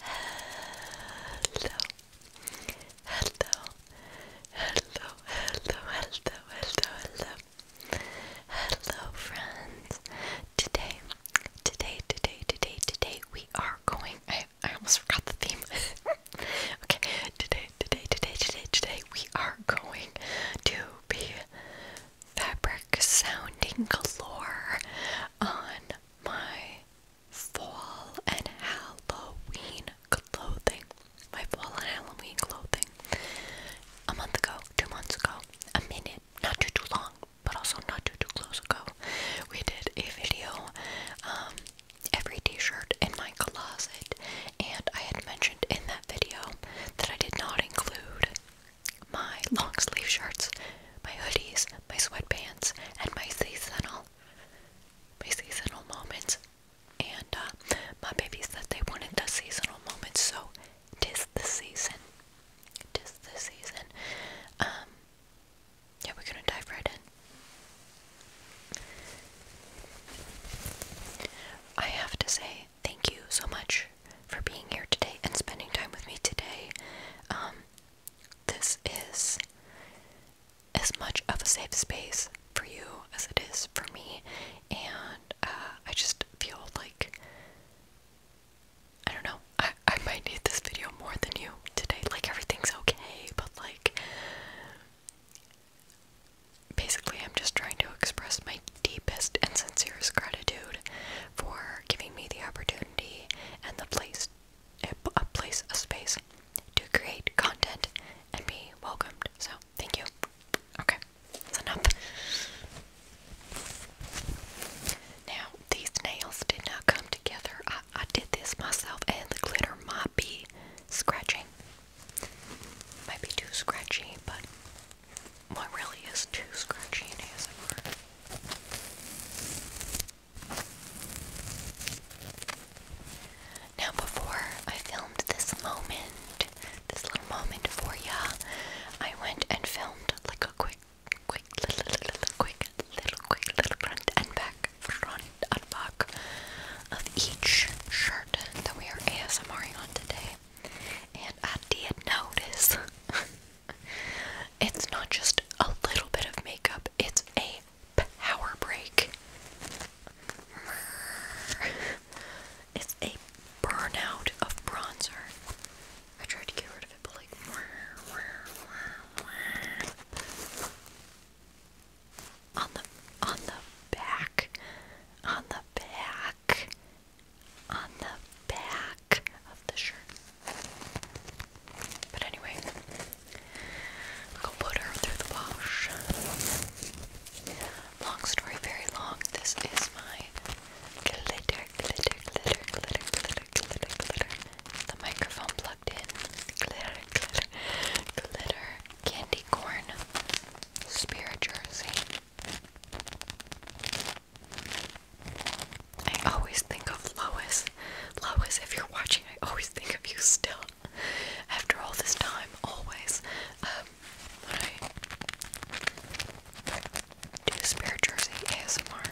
Hello, hello, hello, hello, hello, hello, hello, hello, friends. Today, today, today, today, today, we are going. I, I almost forgot the theme. okay, today, today, today, today, today, we are going to be fabric sounding galore on my fall and Halloween clothing. My fall and Halloween clothing. A month ago, two months ago, a minute, not too too long, but also not too too close ago. We did a video, um, every t-shirt in my closet, and I had mentioned in that video that I did not include my long sleeve shirts, my hoodies, my sweatpants, and my seasonal, my seasonal moments. And uh, my baby said they wanted the seasonal moments, so tis the season. Tis the season. Um, yeah, we're gonna dive right in. I have to say thank you so much for being here today and spending time with me today. Um, this is as much of a safe space for you as it is for me, and uh, I just feel like I don't know, I, I might need this video more than you today. Like, everything's okay, but like, basically, I'm just trying to express my deepest and sincerest gratitude for giving me the opportunity and the place a place a space to create content and be welcomed. So thank you. Okay, enough. Now these nails did not come together. I, did this myself and the glitter might be scratching. Might be too scratchy, but what really is too scratchy in now, before I filmed this moment, this little moment for ya, I went and filmed like a quick, quick, little, little, little quick, little, quick, little front and back, front and back of each shirt that we are ASMRing on today. And I did notice It's not just a little bit of makeup, it's a power break. It's a burnout of bronzer. I tried to get rid of it, but like. On the on the back, on the back, on the back of the shirt. But anyway, go put her through the wash. Long story, very long. This is my glitter, glitter, glitter, glitter, glitter, glitter, glitter. The microphone plugged in. Glitter, glitter, glitter. Candy corn. Spirit jersey. I always think of Lois. Lois, if you're watching, I always think of you still. After all this time, always. Um, when I do Spirit Jersey ASMR,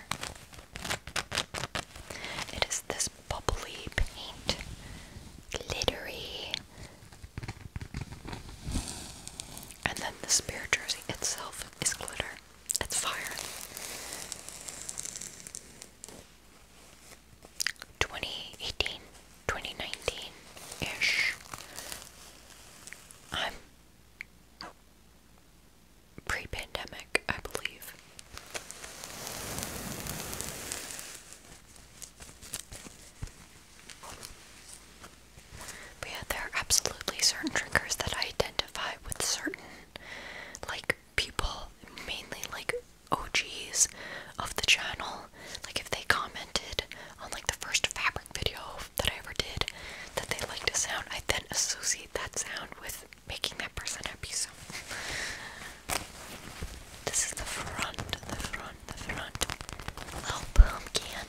it is this bubbly paint, glittery, and then the Spirit Jersey itself is glitter. That's fire. 2018, ish. I'm pre pandemic, I believe. But yeah, there are absolutely certain triggers that I identify with certain like people, mainly like OGs of the channel. Like if they commented on like the first fabric video that I ever did that they liked a sound, I then associate that sound with making that person happy. So this is the front, the front, the front. Little boom can.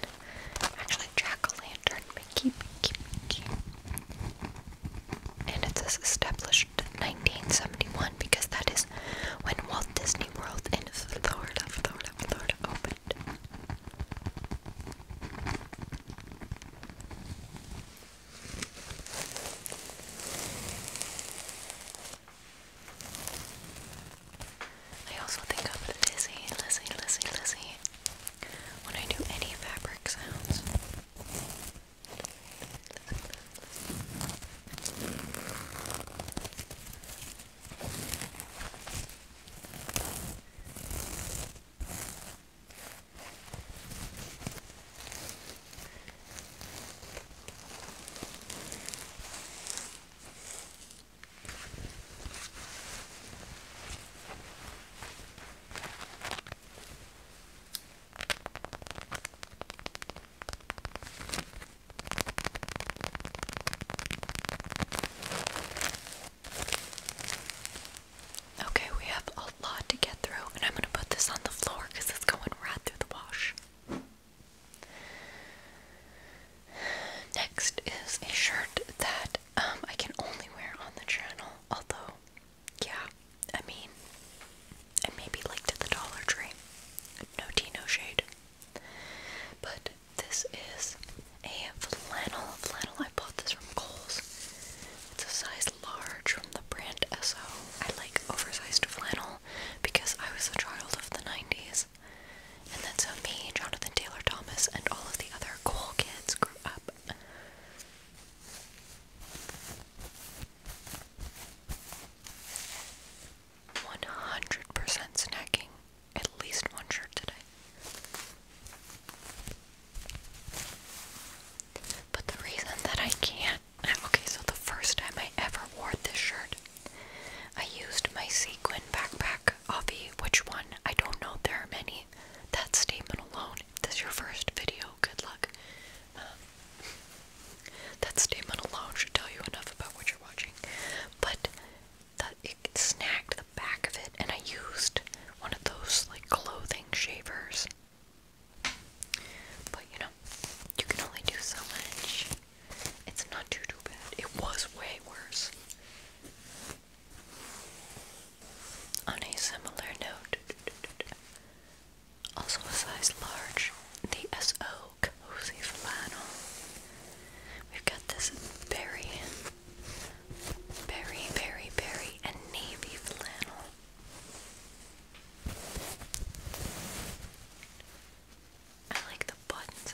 Actually jack-o'-lantern Pinky, pinky, pinky. And it says established 1971 because that is when Walt Disney World in Florida, Florida, Florida opened. I also think of Lizzie, Lizzie, Lizzie, Lizzie when I do any fabric sounds. Okay. Okay, we have a lot to get through, and I'm going to put this on the floor because it's going right through the wash. Next is a shirt that um, I can only wear on the channel. Although, yeah, I mean, and maybe like to the Dollar Tree. No tea, no shade. But this is a flannel. Flannel. I bought this from Coles. It's a size large from the brand S.O. I like oversized flannel because I was a child of the 90s. And then so me, Jonathan Taylor Thomas, and all of the other cool kids grew up one hundred percent snacking at least one shirt today. But the reason that I can't okay, so the first time I ever wore this shirt, I used my sequin backpack, Avi. Which one? I don't know. There are many that statement alone. If is your first video, good luck. Um, that statement alone should tell you enough about what you're watching. But it snagged the back of it, and I used one of those like clothing shavers. But you know, you can only do so much. It's not too too bad. It was way worse. On a similar note, also a size large, the SO Cozy Flannel. We've got this berry, very, very, very and navy flannel. I like the buttons.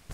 Work.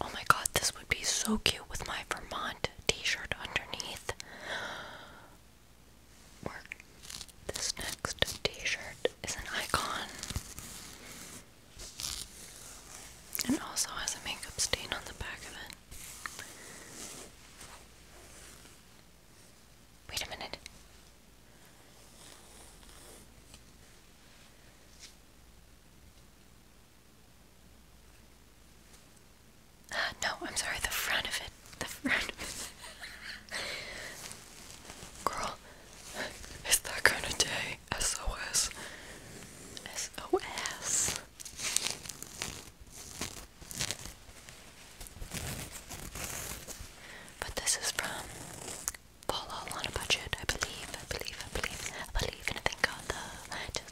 Oh my god, this would be so cute with my Vermont t shirt underneath. this next t shirt is an icon. And also has a makeup stain on the back of it. Wait a minute. Uh, no, I'm sorry, the front of it. The front of it. Girl, is that kind of day? SOS. But this is from fall on a budget. I believe, I believe, I believe, I believe in a thing called uh, the.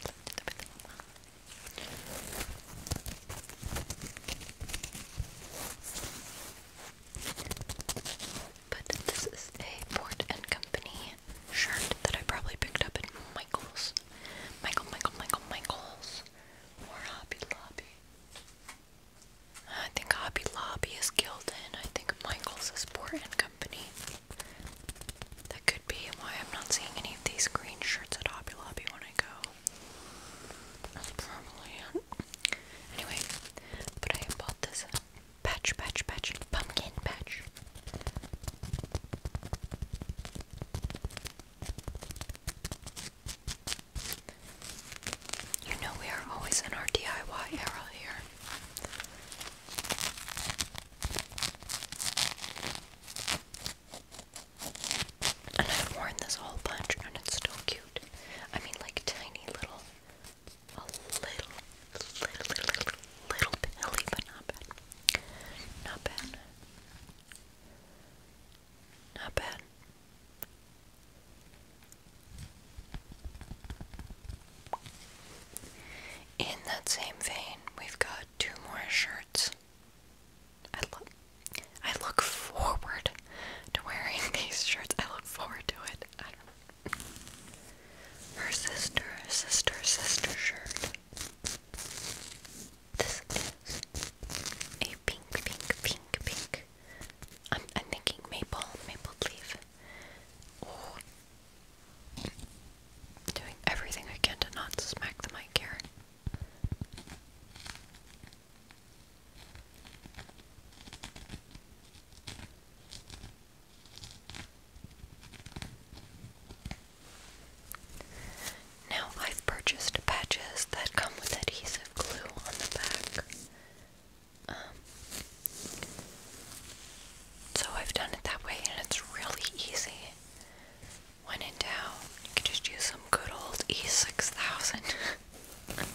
But this is a Ford and Company shirt that I probably picked up at Michael's. Michael, Michael, Michael, Michael's. Or Hobby Lobby. I think Hobby Lobby is Gildan. I think Michaels is Sport and Company. That could be why I'm not seeing any of these green shirts at Hobby Lobby when I go. probably Anyway, but I bought this patch, patch, patch, pumpkin patch. You know we are always in our DIY era here. And I've worn this whole bunch and it's still cute. I mean like tiny little a little little little little pilly, but not bad. Not bad. Not bad. In that same vein, we've got two more shirts. I look, I look forward to wearing these shirts. I look forward to it. Her sister, sister, sister shirt. This is a pink, pink, pink, pink I'm, thinking maple, maple leaf. Doing everything I can to not smack the mic here. Now I've purchased patches that come with adhesive glue on the back. Um, so I've done it that way, and it's really easy. When in doubt, you can just use some good old E6000.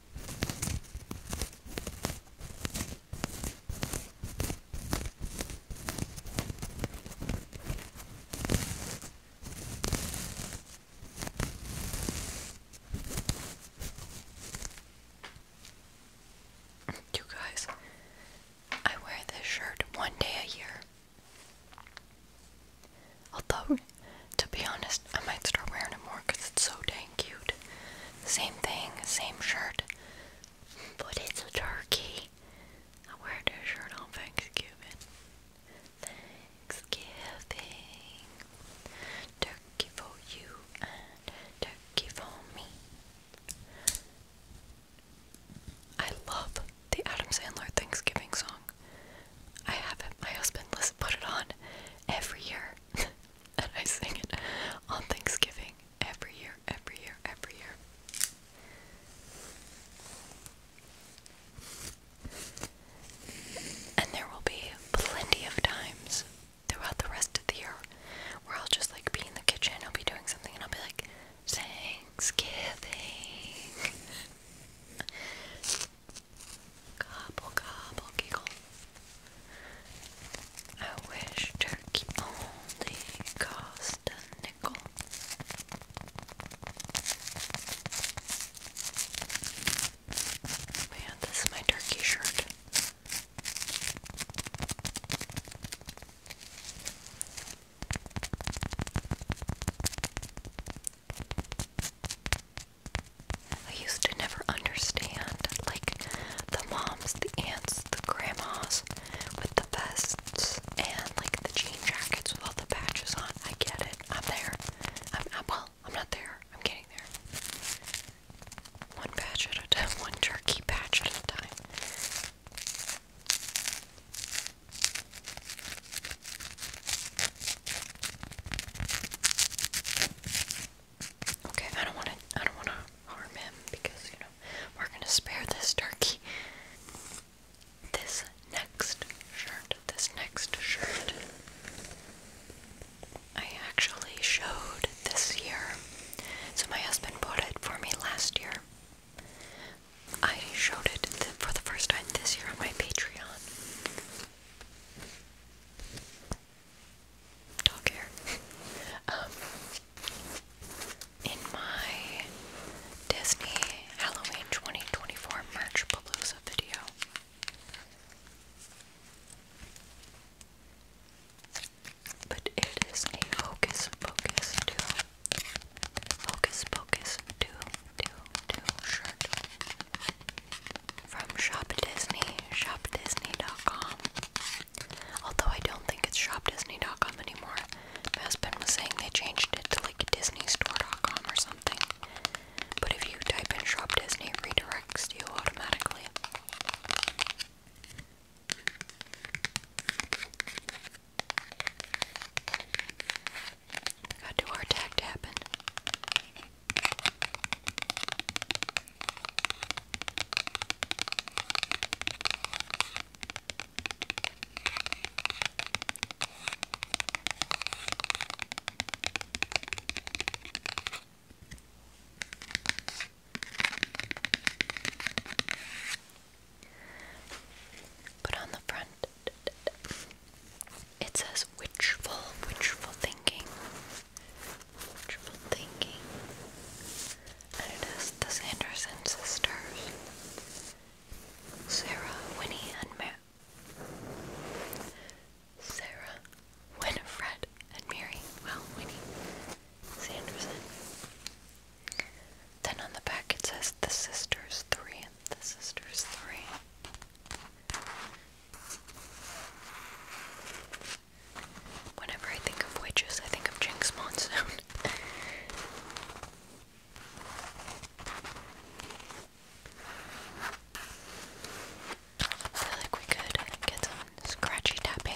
You guys, I wear this shirt one day a year. Although, to be honest, I might start wearing it more because it's so dang cute. Same thing, same shirt, but it's a turkey. I wear this shirt on Thanksgiving. Thanksgiving. Turkey for you and turkey for me. I love the Adam Sandler Thanksgiving song. I have it. My husband listen, put it on every year, and I sing it on Thanksgiving every year, every year, every year. And there will be plenty of times throughout the rest of the year where I'll just like be in the kitchen, I'll be doing something, and I'll be like, Thanksgiving. Gobble, gobble, giggle. I wish turkey only cost a nickel. Man, this is my turkey shirt. I used to never understand, like, the moms, the aunts, the grandmas with the vests and, like, the jean jackets with all the patches on. I get it. I'm there. I'm, well, I'm not there. I'm getting there. One patch at a time, one turkey patch at a time. Okay, I don't want to. I don't want to harm him because you know we're gonna spare this turkey. This next shirt. This next shirt. I actually showed this year. So my husband bought it for me last year. I showed it for the first time this year on my Patreon dog hair. um, in my Disney Halloween 2024 merch palooza video, but it is a hocus pocus too. Hocus pocus do do do shirt from Shop Disney, shopdisney.com. Although I don't think it's shopdisney.com anymore. My husband was saying they changed it to like disneystore.com or something. But if you type in Shop Disney, redirects you automatically. Gotta tag tapping. Put on the front. It says witchful, witchful thinking. Witchful thinking. And it is the Sanderson sisters. Sarah, Winnie, and Ma- Sarah, Winifred, and Mary. Well, Winnie Sanderson. Then on the back it says the sisters three. The sisters three. Whenever I think of witches, I think of Jinx Monsoon. I feel like we could get some scratchy tapping.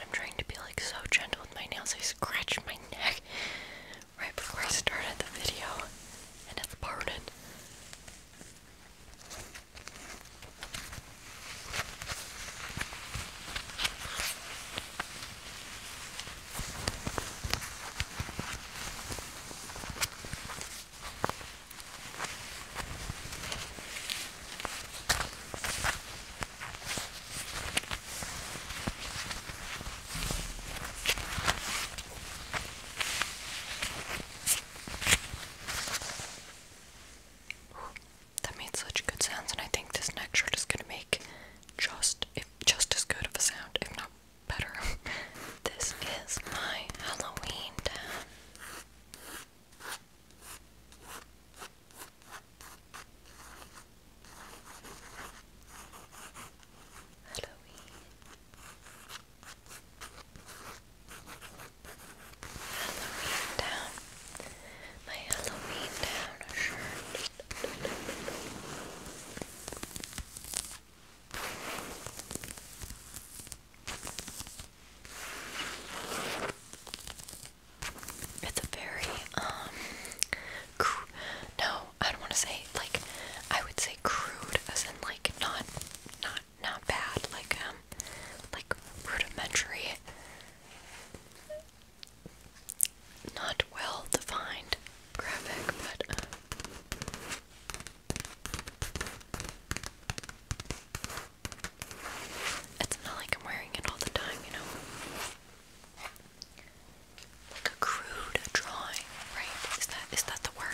I'm trying to be like so gentle with my nails. I scratched my neck right before I started the video, and it's burning. That made such good sounds, and I think this next shot is going to make just just as good of a sound, if not better. this is my Halloween town. Halloween. Halloween town. My Halloween town shirt. It's a very, um, no, I don't want to say, like, I would say crude, as in, like, not, not, not bad, like, um, like, rudimentary not well defined graphic, but uh, it's not like I'm wearing it all the time, you know. Like a crude drawing, right? Is that is that the word?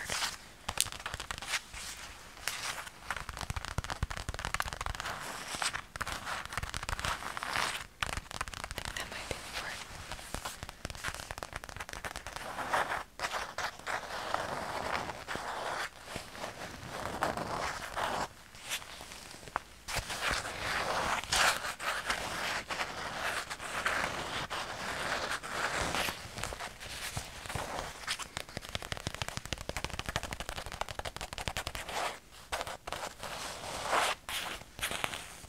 That might be important. Okay.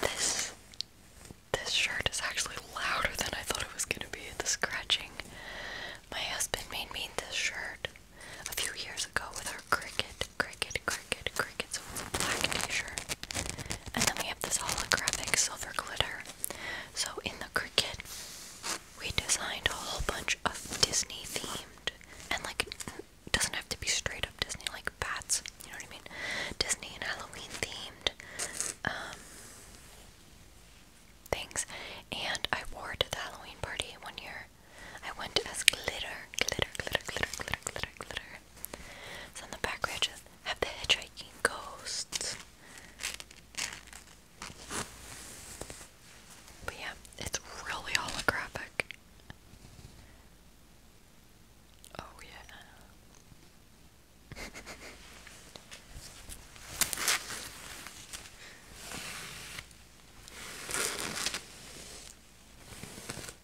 This this shirt is actually louder than I thought it was gonna be at the scratching. My husband made me this shirt a few years ago with our cricket cricket, cricket, cricket. So black t-shirt, and then we have this holographic silver glitter. So in the cricket, we designed a whole bunch of Disney themed, and like it doesn't have to be straight up Disney, like bats. You know what I mean? Disney and Halloween themed. Um, things and I wore to the Halloween party one year. I went as glitter, glitter, glitter, glitter, glitter, glitter, glitter. So in the back we just have the hitchhiking ghosts. But yeah, it's really holographic. Oh yeah.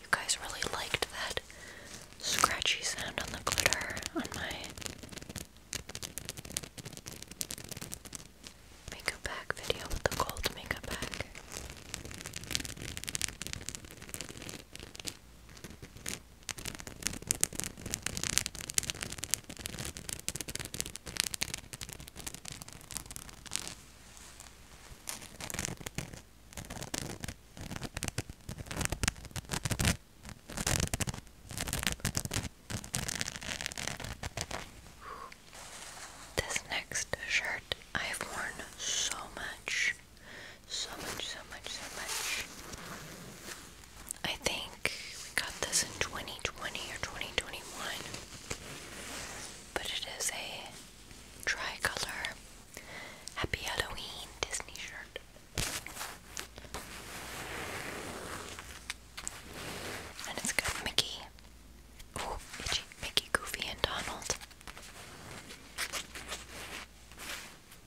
You guys really liked that scratchy sound on the glitter on my makeup bag video with the gold makeup bag. This next shirt I've worn so much, so much, so much, so much. I think we got this in 2020 or 2021, but it is a tricolor Happy Halloween Disney shirt. And it's got Mickey. Oh, itchy. Mickey, Goofy, and Donald.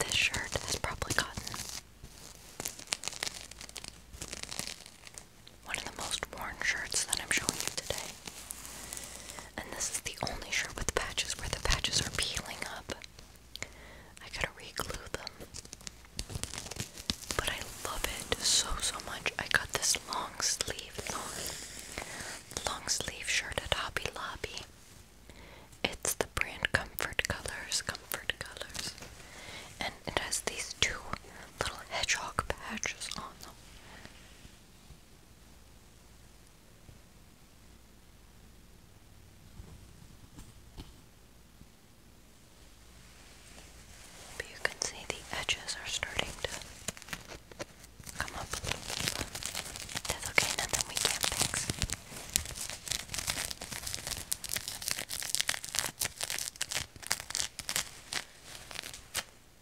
This shirt is probably cotton. One of the most worn shirts that I'm showing you today. And this is the only shirt with patches where the patches are peeling up. I gotta reglue them. But I love it so so much. I got this long sleeve, long, long sleeve shirt at Hobby Lobby. It's the brand Comfort Colors, Comfort Colors. And it has these two little hedgehog patches on them you can see the edges are starting to come up a little bit. That's okay, nothing we can't fix.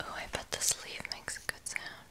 Oh, I bet the sleeve makes a good sound.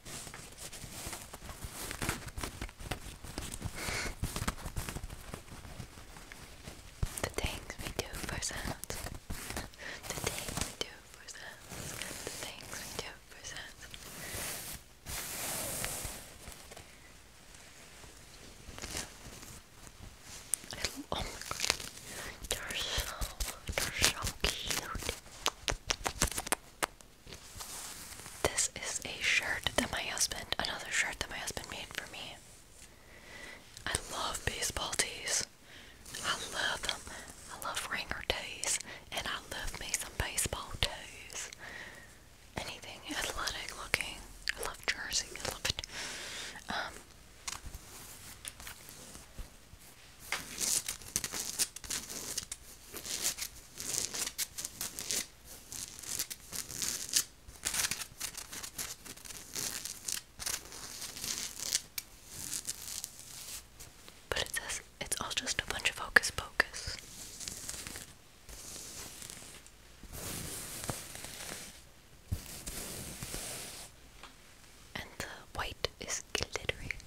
The things we do for sounds. The things we do for sounds. The things we do for sounds. oh my god. They're so, they're so cute. This is a shirt that my husband, another shirt that my husband made for me. I love baseball tees. I love them. I love ringer tees. And I love me some baseball tees. Anything athletic looking. I love jersey. I love it. Um, but it says it's all just a bunch of hocus pocus. And the white is glittering.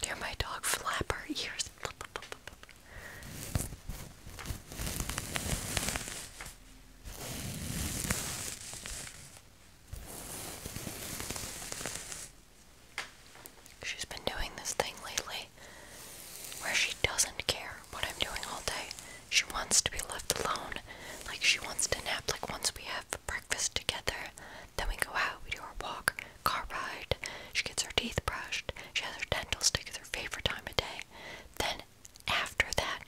Dear my dog flap her ears. She's been doing this thing lately where she doesn't care what I'm doing all day. She wants to be left alone. Like she wants to nap. Like once we have breakfast together, then we go out, we do our walk, car ride. She gets her teeth brushed. She has her dental stick. It's her favorite time of day. Then after that,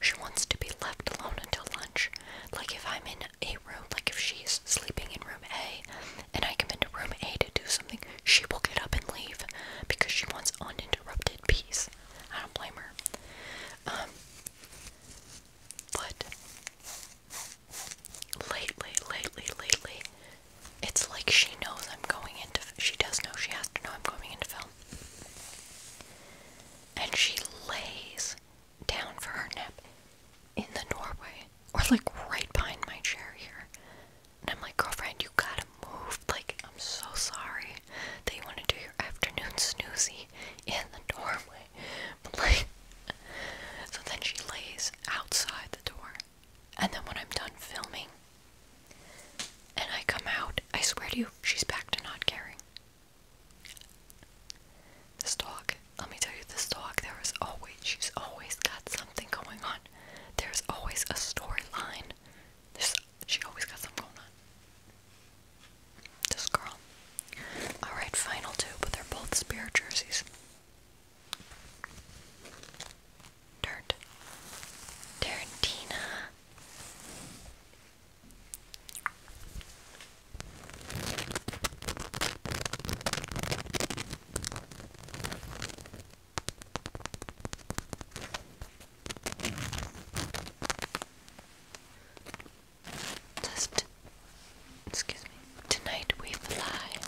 she wants to be left alone until lunch. Like if I'm in a room, like if she's sleeping in room A, and I come into room A to do something, she will get up and leave because she wants uninterrupted peace. I don't blame her. Um, but lately, lately, lately, it's like she knows I'm going into. She does know. She has to know I'm going into film. And she lays down for her nap in the doorway, or like right behind my chair here. And I'm like, girlfriend, you got him. Like, I'm so sorry that you want to do your afternoon snoozy in the doorway. But, like, so then she lays outside the door. And then when I'm done filming and I come out, I swear to you, she's back to not caring. This dog, let me tell you, this dog, there is always, she's always got something going on. There's always a storyline. There's she always got something going on. This girl. Alright, final two, but they're both spirit jerseys. Dirt. Tarantina. Tonight We Fly.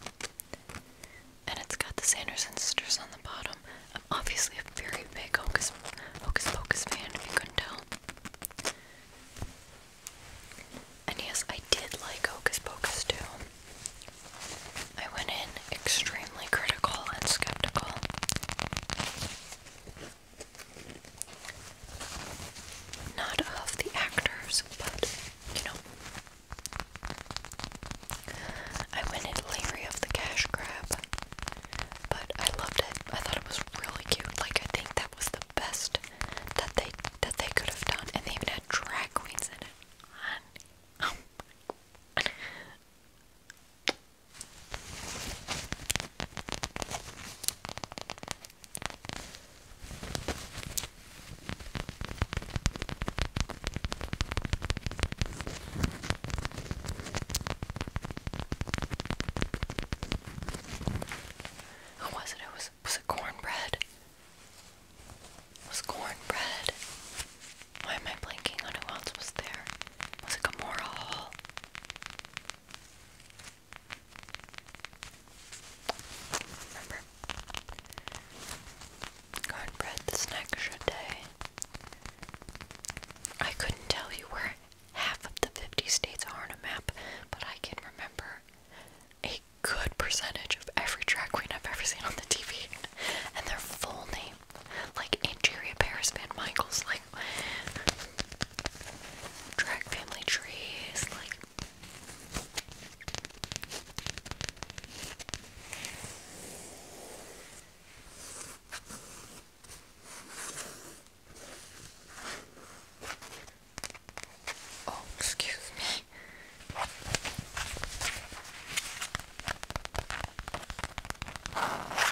And it's got the Sanderson sisters on the bottom. I'm obviously a very big Hocus, Hocus Pocus fan, if you couldn't tell. And yes, I did like Hocus Pocus too. I went in extremely critical and skeptical. Not of the actors, but you know. I went in Larry of the Cash Grab, but I loved it. I thought it was really cute. Like I think that was the best that they that they could have done, and they even had drag queens in it. Who was it? It was was it cornbread? was cornbread? Why am I blanking on who else was there? Was it Gamora Hall? Remember. Cornbread the snack day. I couldn't tell you where half of the 50 states are on a map, but I can remember a good percentage of every drag queen I've ever seen on the TV and their full name. Like interior Paris Van Michaels, like drag family trees, like Oh, excuse me.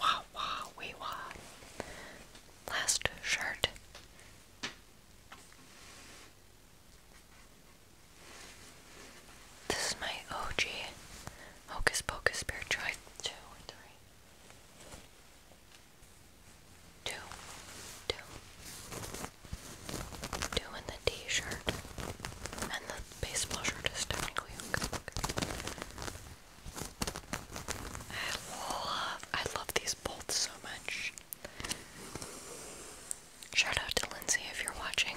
Wow, wow, wee wow. Last shirt. This is my OG Hocus Pocus Spirit Drive 2 or 3. Two, two, two in the t-shirt, and the baseball shirt is technically I love, I love these bolts so much. Shout out to Lindsay if you're watching.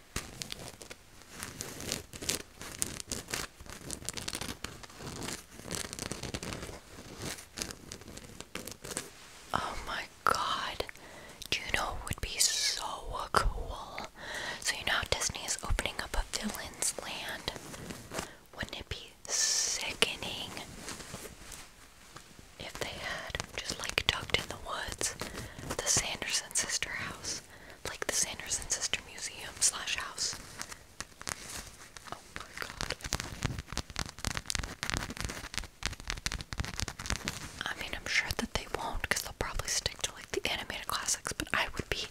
Oh my god. Do would be so cool? So you know how Disney is opening up a villain's land? Wouldn't it be sickening? if they had just like tucked in the woods the Sanderson sister house, like the Sanderson sister museum slash house. Oh my god. I mean, I'm sure that they won't they'll probably stick to like the animated classics, but I would be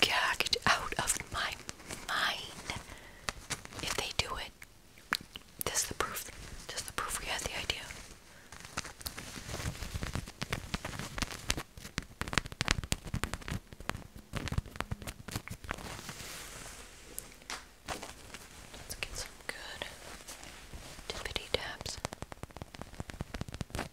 gagged out of my mind if they do it. This the proof. This the proof we had the idea. Let's get some good tippity taps. Good.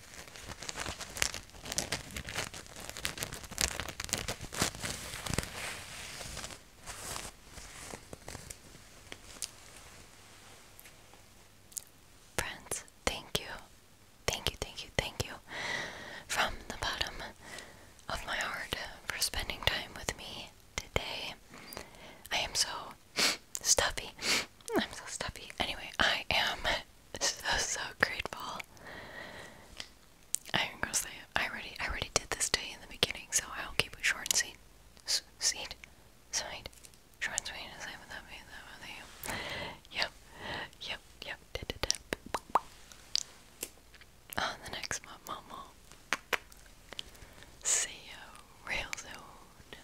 Friends, thank you. Thank you, thank you, thank you from the bottom of my heart for spending time with me today. I am so stuffy. I'm so stuffy. Anyway, I am so so grateful. I'm gonna say it. I already I already did this day in the beginning, so I'll keep it short and sweet. S sweet, sweet, short and sweet. Is that what that means? That what they am? Yep, yep, yep. Did it. On the next one, Momo. See you real soon.